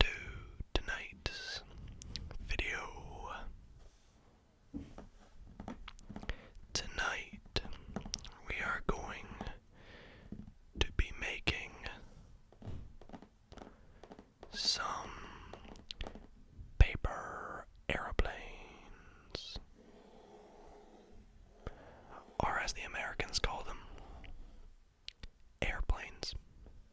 to tonight's video. Tonight we are going to be making some paper aeroplanes, or as the Americans call them, airplanes.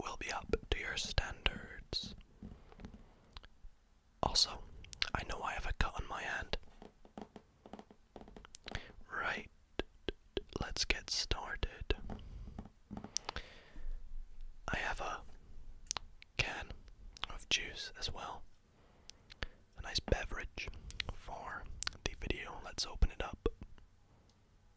will be up to your standards. Also, I know I have a cut on my hand. Right, let's get started. I have a can of juice as well. A nice beverage for the video. Let's open it up.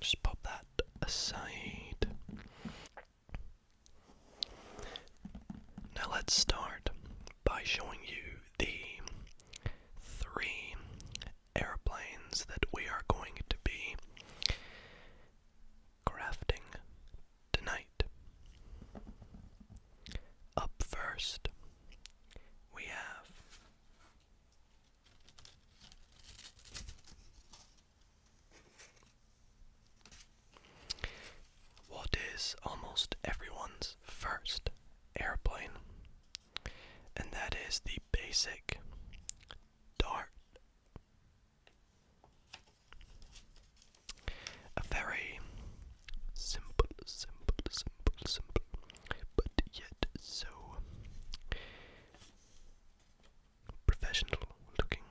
Just pop that aside. Now let's start by showing you the three airplanes that we are going to be crafting tonight. Up first, we have what is almost everyone's first airplane, and that is the basic dart a very simple, simple, simple, simple, but yet so professional looking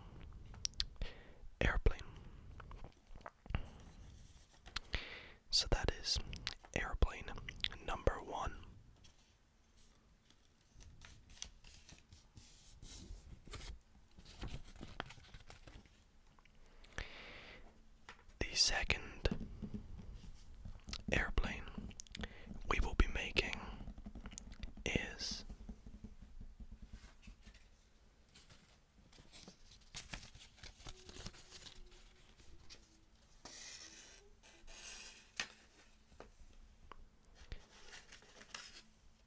airplane. So that is airplane number one. The second airplane we will be making is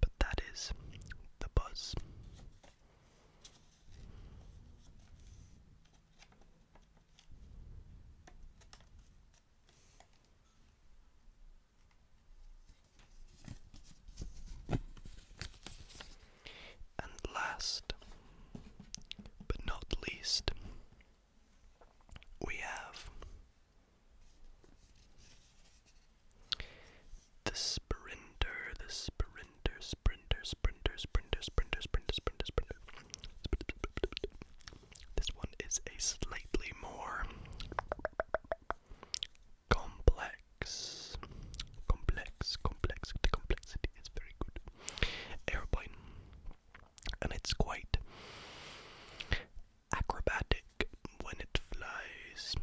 but that is the buzz. And last but not least, we have the sprinter, the sprinter, sprinter, sprinter, sprinter, sprinter, sprinter, sprinter, sprinter. This one is a slightly more complex, complex, complex. The complexity is very good. Airplane, and it's quite acrobatic when it flies.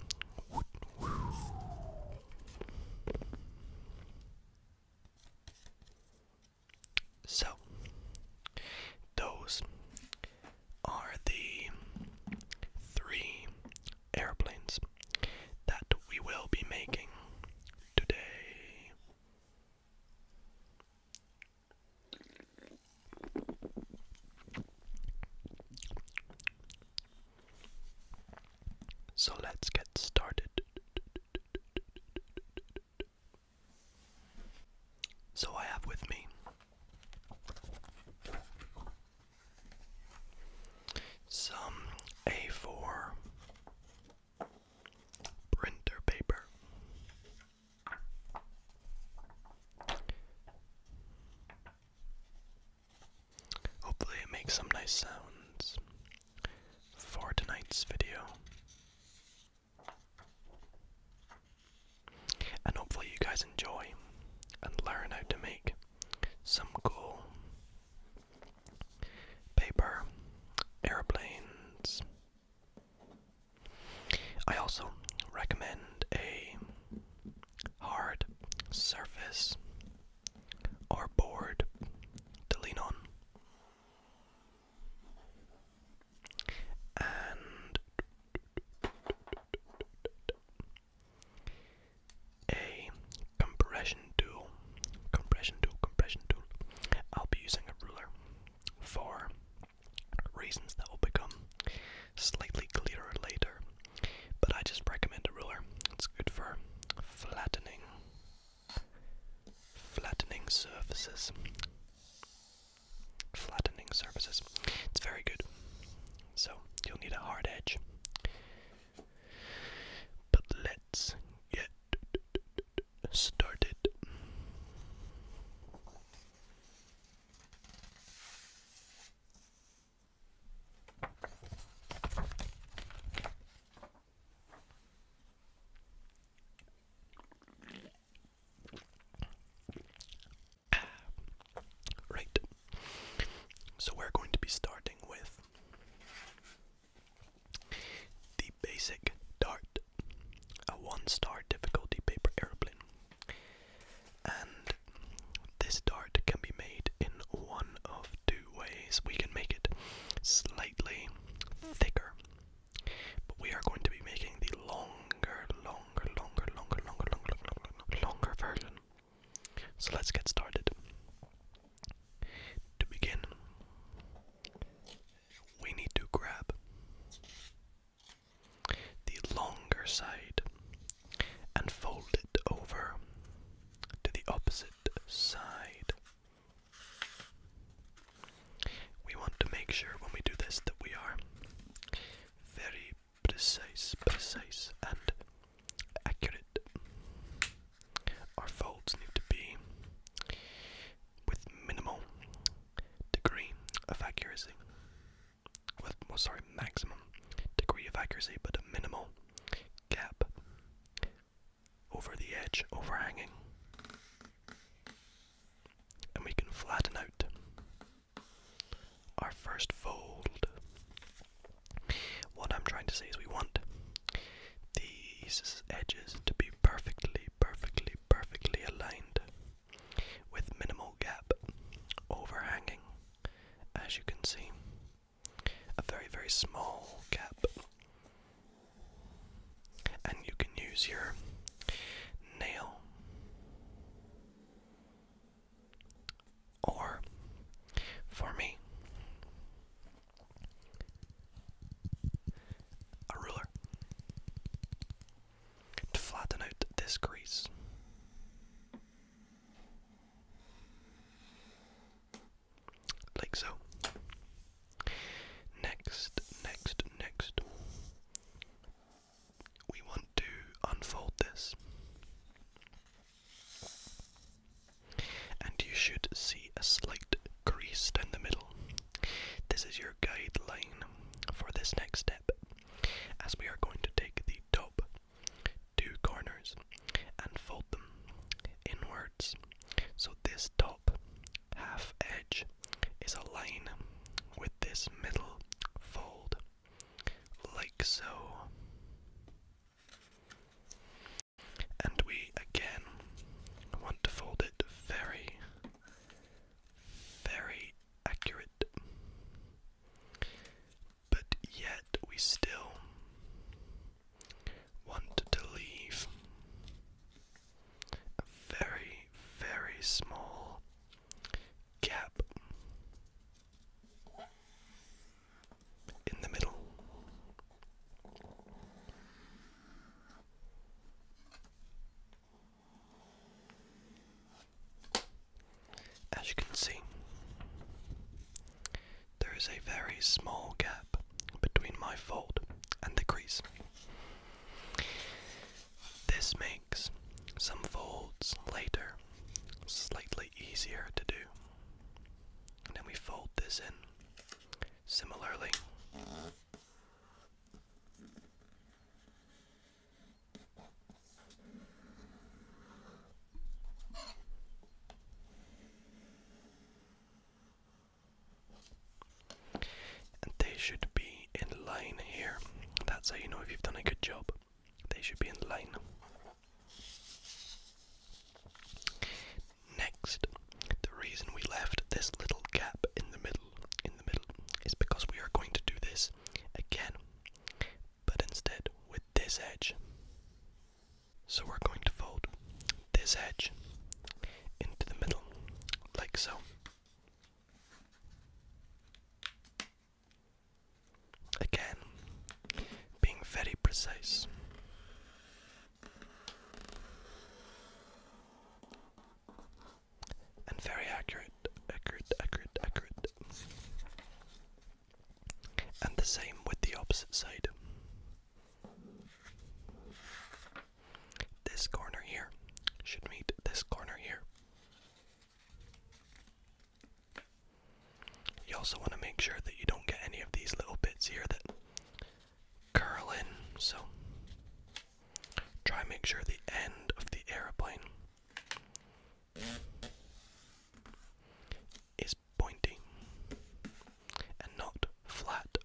So, those are the three airplanes that we will be making today. So let's get started. So I have with me some A4 printer paper. Hopefully, it makes some nice sounds for tonight's video. And hopefully, you guys enjoy and learn how to make some cool paper airplanes. I also recommend a hard surface or board to lean on. And a compression tool, compression tool, compression tool. I'll be using a ruler for reasons that will become slightly clearer later. But I just recommend a ruler. It's good for flattening flattening surfaces. Flattening surfaces. It's very good. So you'll need a hard edge. But let's get started. Right. So we're going to be starting with the basic dart, a one star difficulty paper airplane. And this dart can be made in one of two ways. We can make it slightly thicker, but we are going to be making the longer, longer, longer, longer, longer, longer, longer, longer version. So let's get started. To begin, we need to grab the longer side and fold it over to the opposite side. We want to make sure when we do this that we are very precise, precise and accurate. Our folds need to be with minimal degree of accuracy with sorry maximum degree of accuracy but a minimal gap over the edge overhanging and we can flatten out our first fold what i'm trying to say is we want these edges to be perfectly perfectly perfectly aligned with minimal gap overhanging, as you can see. A very, very small gap. And you can use your nail or for me a ruler to flatten out this crease. Like so. Next, next, next. We want to unfold this. And you should see a slight crease down the middle. This is your guide line for this next step, as we are going to take the top two corners and fold them inwards. So this top half edge is aligned with this middle fold, like so. And we again want to fold it very, very accurate. But yet we still want to leave a very, very small gap in the middle. As you can see, there is a very small gap between my fold and the crease. This makes some folds later slightly easier to do. And then we fold this in similarly they should be in line here. That's how you know if you've done a good job. They should be in line. Next, the reason we left this little gap in the middle in the middle is because we are going to do this again but instead, with this edge. So we're going to fold this edge into the middle, like so. Again, being very precise and very accurate, accurate, accurate, accurate. And the same with the opposite side. This corner here should meet this corner here. You also want to make sure that you don't get any of these little bits here that curl in, so try and make sure the end of the aeroplane is pointing and not flat.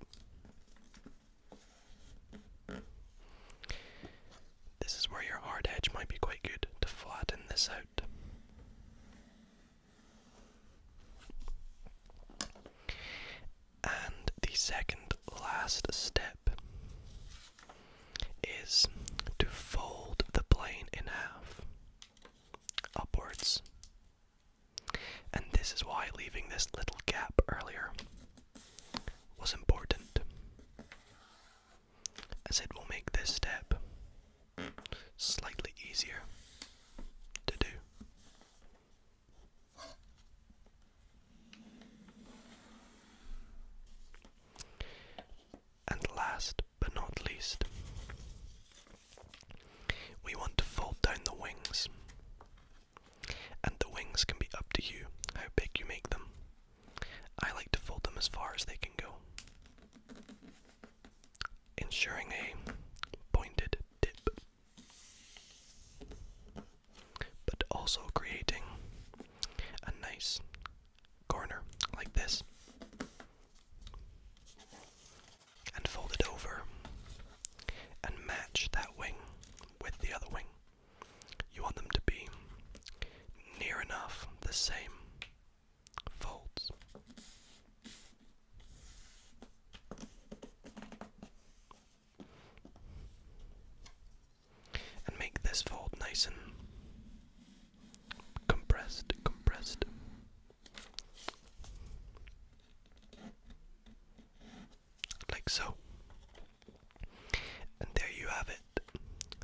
This is where your hard edge might be quite good to flatten this out. And the second last step is to fold the plane in half upwards. And this is why leaving this little gap earlier was important, as it will make this step slightly easier to do. And last but not least, we want to fold down the wings. And the wings can be up to you how big you make them. I like to fold them as far as they can go, ensuring a pointed tip, but also creating a nice corner like this and fold it over and match that wing with the other wing. You want them to be near enough the same folds and make this fold nice and compressed, compressed. Like so. And there you have it.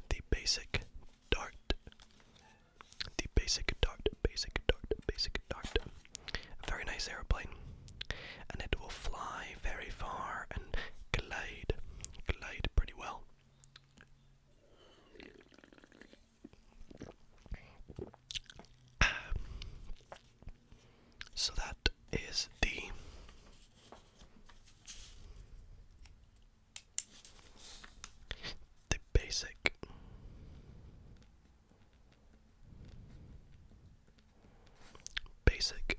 The basic dart. The basic dart, basic dart, basic dart. A very nice aeroplane. And it will fly very far and glide, glide pretty well. So that is the the basic basic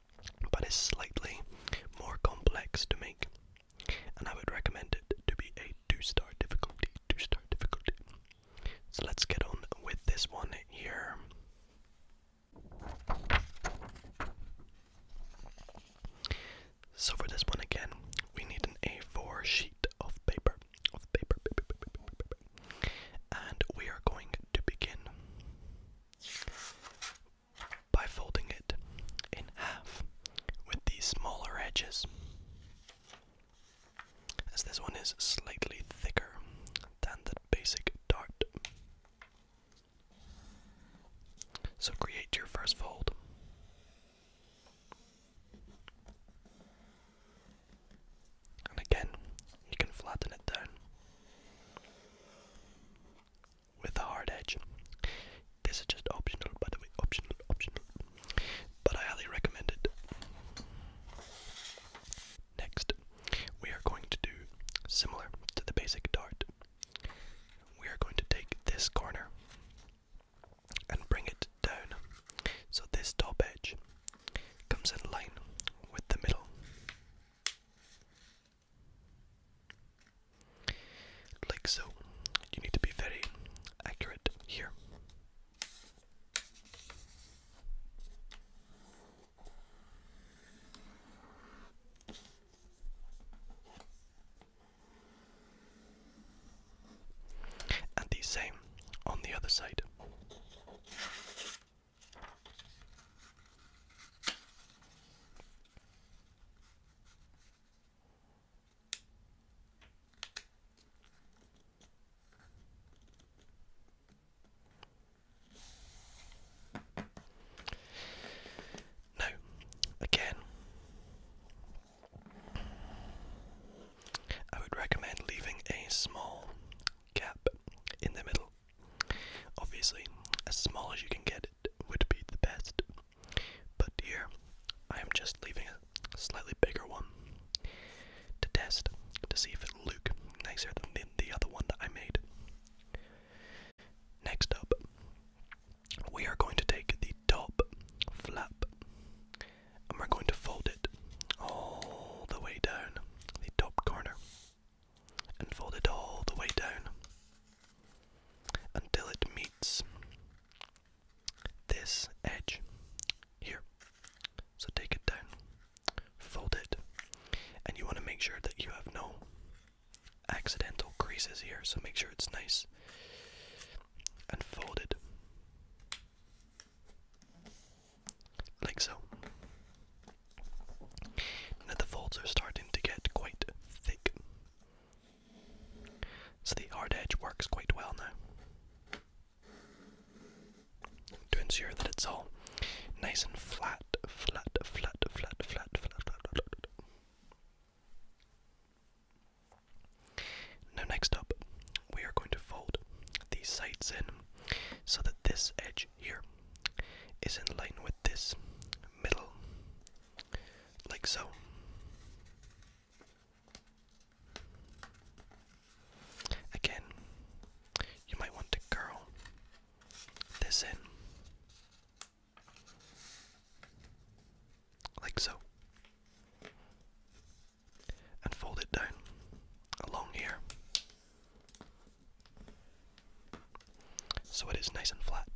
but it's slightly more complex to make, and I would recommend it to be a two-star difficulty. Two-star difficulty. So let's get on with this one here. So for this one again, we need an A4 sheet of paper, of paper. and we are going to begin by folding it in half with the smaller edges. As this one is slightly thicker than the basic dart. So create your first fold. And again, you can flatten it down with a hard edge. This is just optional, by the way, optional, optional. But I highly recommend it. Next, we are going to do similar to the basic dart. We are going to take this corner and bring it down. So this top edge comes in line with the middle. Like so. You need to be very accurate here. And the same on the other side. Now, again, I would recommend leaving a small gap in the middle Obviously, as small as you can get it would be the best, but here I am just leaving a slightly bigger one to test to see if it will look nicer than the other one that I made. Next up, we are going to take the top flap and we're going to fold it all the way down the top corner and fold it all the way down until it meets this edge here. So take it down, fold it, and you want to make sure that you have no accidental creases here, so make sure it's nice and folded like so. Now the folds are starting to get quite thick. So the hard edge works quite well now. To ensure that it's all nice and flat, flat, flat, flat, flat, flat, flat, flat. Now next up, we are going to fold these sides in so that this edge image here is in line with this middle, like so. Again, you might want to curl this in, like so, and fold it down along here. So it is nice and flat.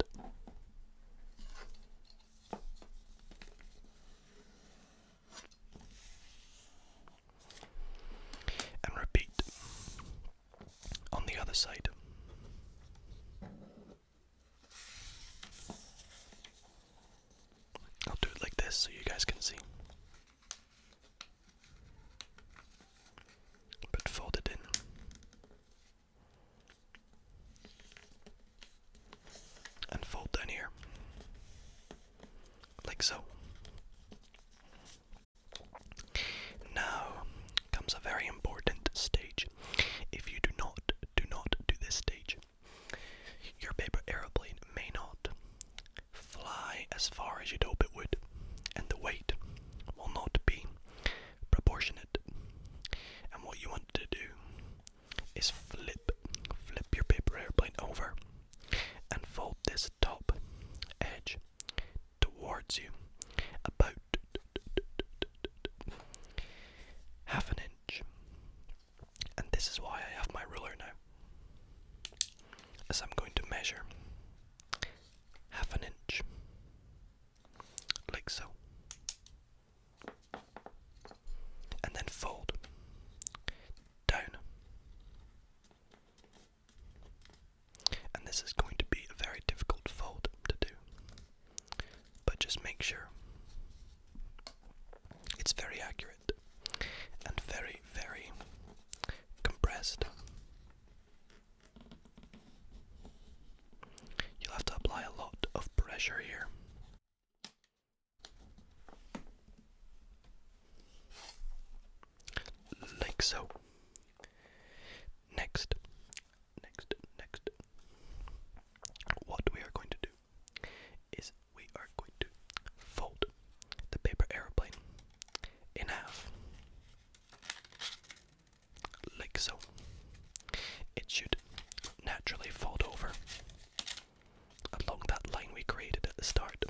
And repeat on the other side. I'll do it like this so you guys can see but it in. And fold down here, like so. Now comes a very important stage. If you do not do not do this stage, your paper aeroplane may not fly as far as you'd hope it would, and the weight will not be proportionate. And what you want to do is flip, flip your paper airplane over and fold this top edge towards you about half an inch. And this is why I have my ruler now, as I'm going to measure half an inch, like so, and then fold down. And this is going to be a very difficult fold to do, but just make sure it's very accurate and very, very compressed You'll have to apply a lot of pressure here. Like so. Next, next, next. What we are going to do is we are going to fold the paper aeroplane in half, like so. It should naturally fold over along that line we created at the start.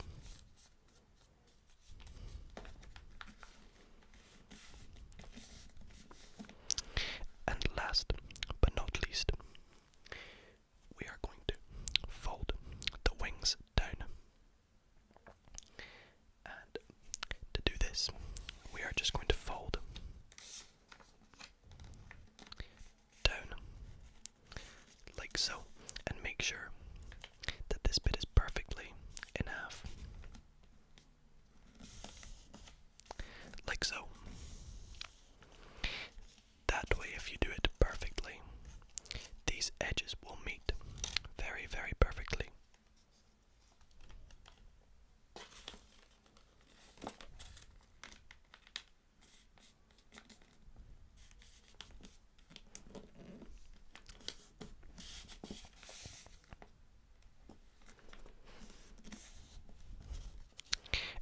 And last but not least, we are going to fold the wings down to do this, we are just going to fold down like so and make sure that this bit is perfectly in half. Like so. That way, if you do it perfectly, these edges will meet very, very perfectly.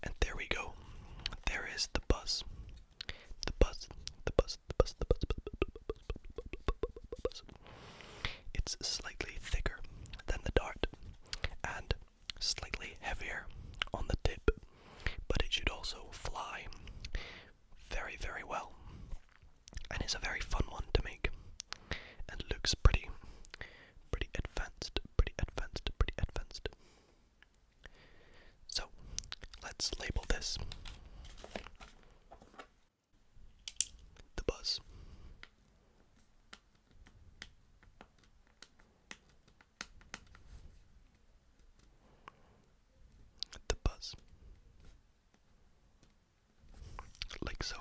And there we go. There is the buzz. The bus, the bus, the bus, the bus, the bus. It's slightly thicker than the dart and slightly heavier on the tip, but it should also fly very, very well and it's a very fun one to make and looks pretty, pretty advanced, pretty advanced, pretty advanced. So let's label this the buzz. The buzz. Like so.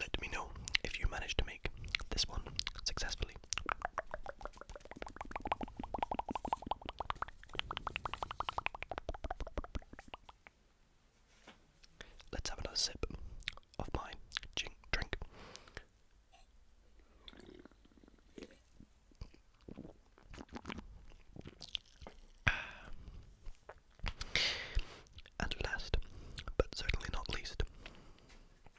Let me know if you managed to make this one successfully. Let's have another sip of my drink. And last, but certainly not least,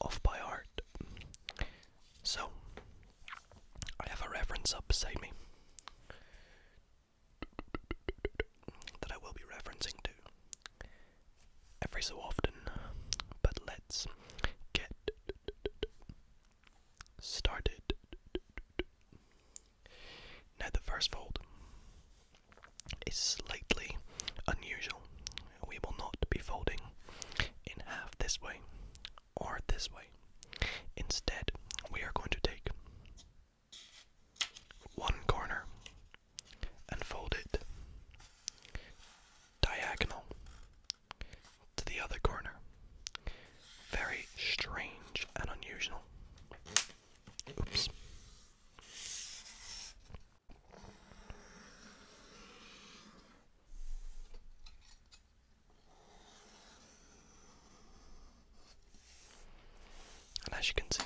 off by heart. So, I have a reference up beside me that I will be referencing to every so often, but let's get started. Now, the first fold is slightly unusual we will not be folding in half this way or this way. Instead, we are going to take one corner and fold it diagonal to the other corner. Very strange and unusual. Oops. And as you can see,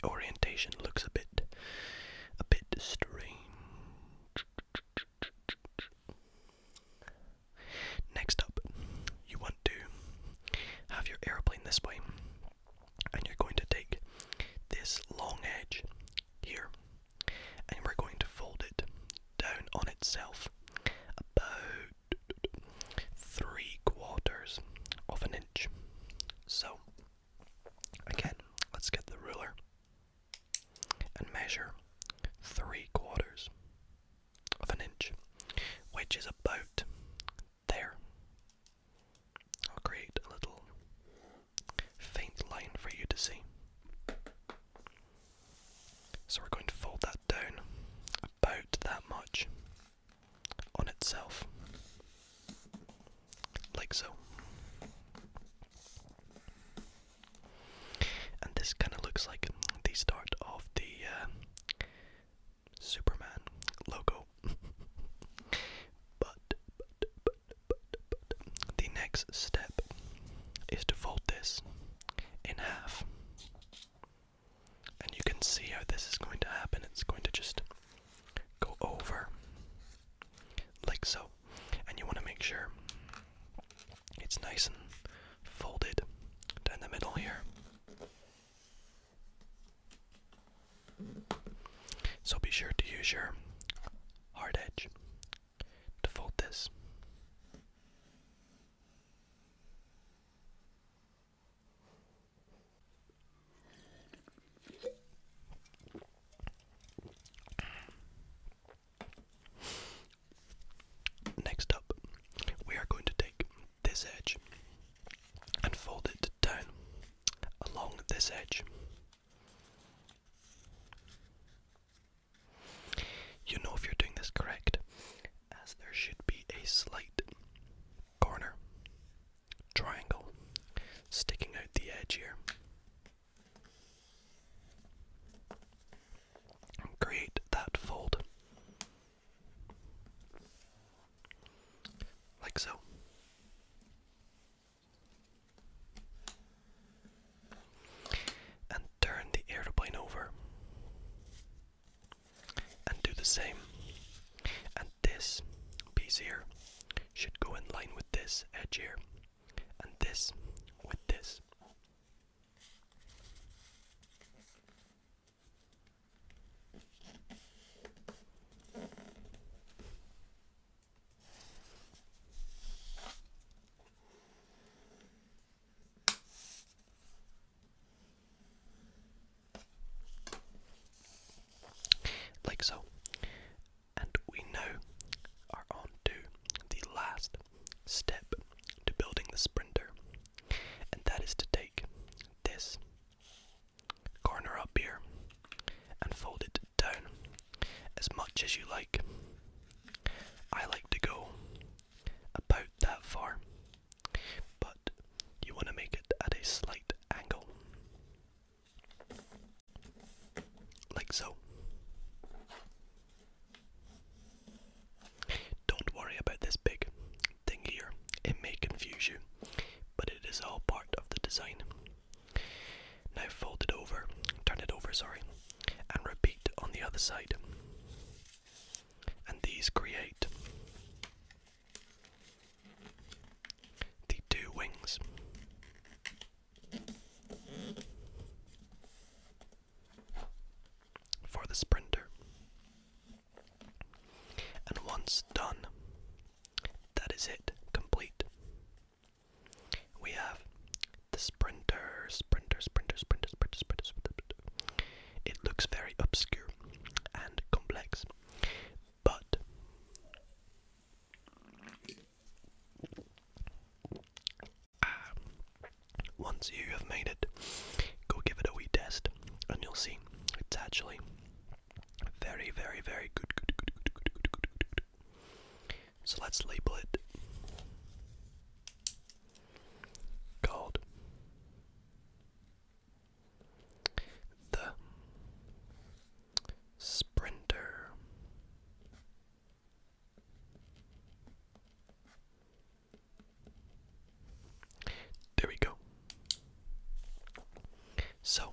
the orientation looks a bit a bit strange. Next up, you want to have your airplane this way, and you're going to take this long edge here, and we're going to fold it down on itself about three quarters of an inch. So, again, let's get the ruler and measure three quarters of an inch, which is about there. I'll create a little faint line for you to see. So we're going to fold that down about that much on itself, like so. And this kind of looks like the start of the uh, Superman logo. but, the next step is to fold this in half. And you can see how this is going to happen. It's going to just go over like so. And you want to make sure it's nice and folded down the middle here. So be sure to use your hard edge to fold this. Next up, we are going to take this edge and fold it down along this edge you know if you're doing this correct, as there should be a slight corner triangle sticking out the edge here. create that fold. Like so and turn the airplane over and do the same and this piece here should go in line with this edge here and this with this like so. And we now are on to the last step to building the sprinter, and that is to take this Corner up here and fold it down as much as you like. I like to go about that far, but you want to make it at a slight angle. Like so. Don't worry about this big thing here, it may confuse you, but it is all part of the design. Now fold it over, turn it over, sorry, and repeat on the other side. And these create the two wings. For the sprinter. And once done, that is it, complete. We have the sprinter, sprinter, sprinter, sprinter, sprinter, sprinter, sprinter. It looks very obscure and complex, but um, once you have made it, go give it a wee test, and you'll see it's actually very, very, very good, So let's label it called the Sprinter. There we go. So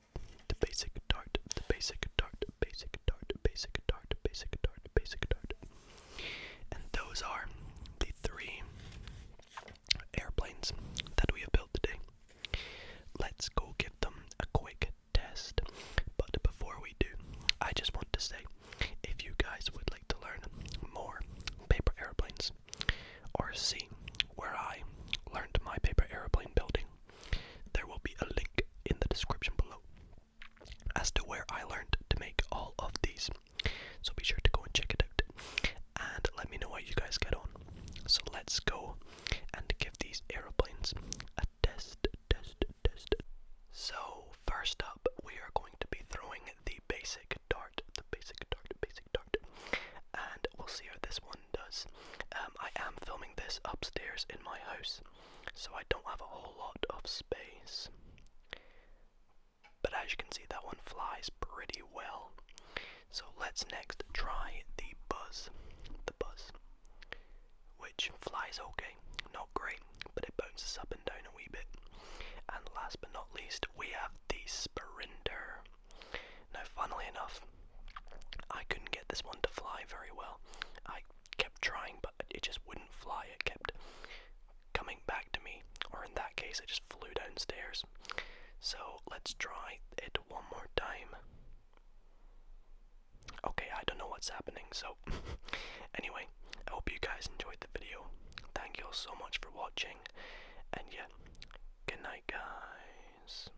the basic dart, the basic dart, basic dart, basic dart, basic dart, basic dart. And those are the three airplanes that we have built today. Let's go give them a quick test. But before we do, I just want to say if you guys would like to learn more paper airplanes or see where I learned my paper airplane building there will be a link in the description below as to where I learned to make all of these. So be sure to go and check it out. And let me know how you guys get on. So let's go and give these aeroplanes a test, test, test. So first up, we are going to be throwing the basic dart, the basic dart, basic dart. And we'll see how this one does. Um, I am filming this upstairs in my house, so I don't have a whole lot of space. But as you can see, that one flies pretty well. So let's next try the buzz. The buzz. Which flies okay, not great, but it bounces up and down a wee bit. And last but not least, we have the Sprinter. Now, funnily enough, I couldn't get this one to fly very well. I kept trying, but it just wouldn't fly. It kept coming back to me, or in that case, it just flew downstairs. So let's try it one more time. Okay, I don't know what's happening, so anyway, I hope you guys enjoyed the video. Thank you all so much for watching, and yeah, good night, guys.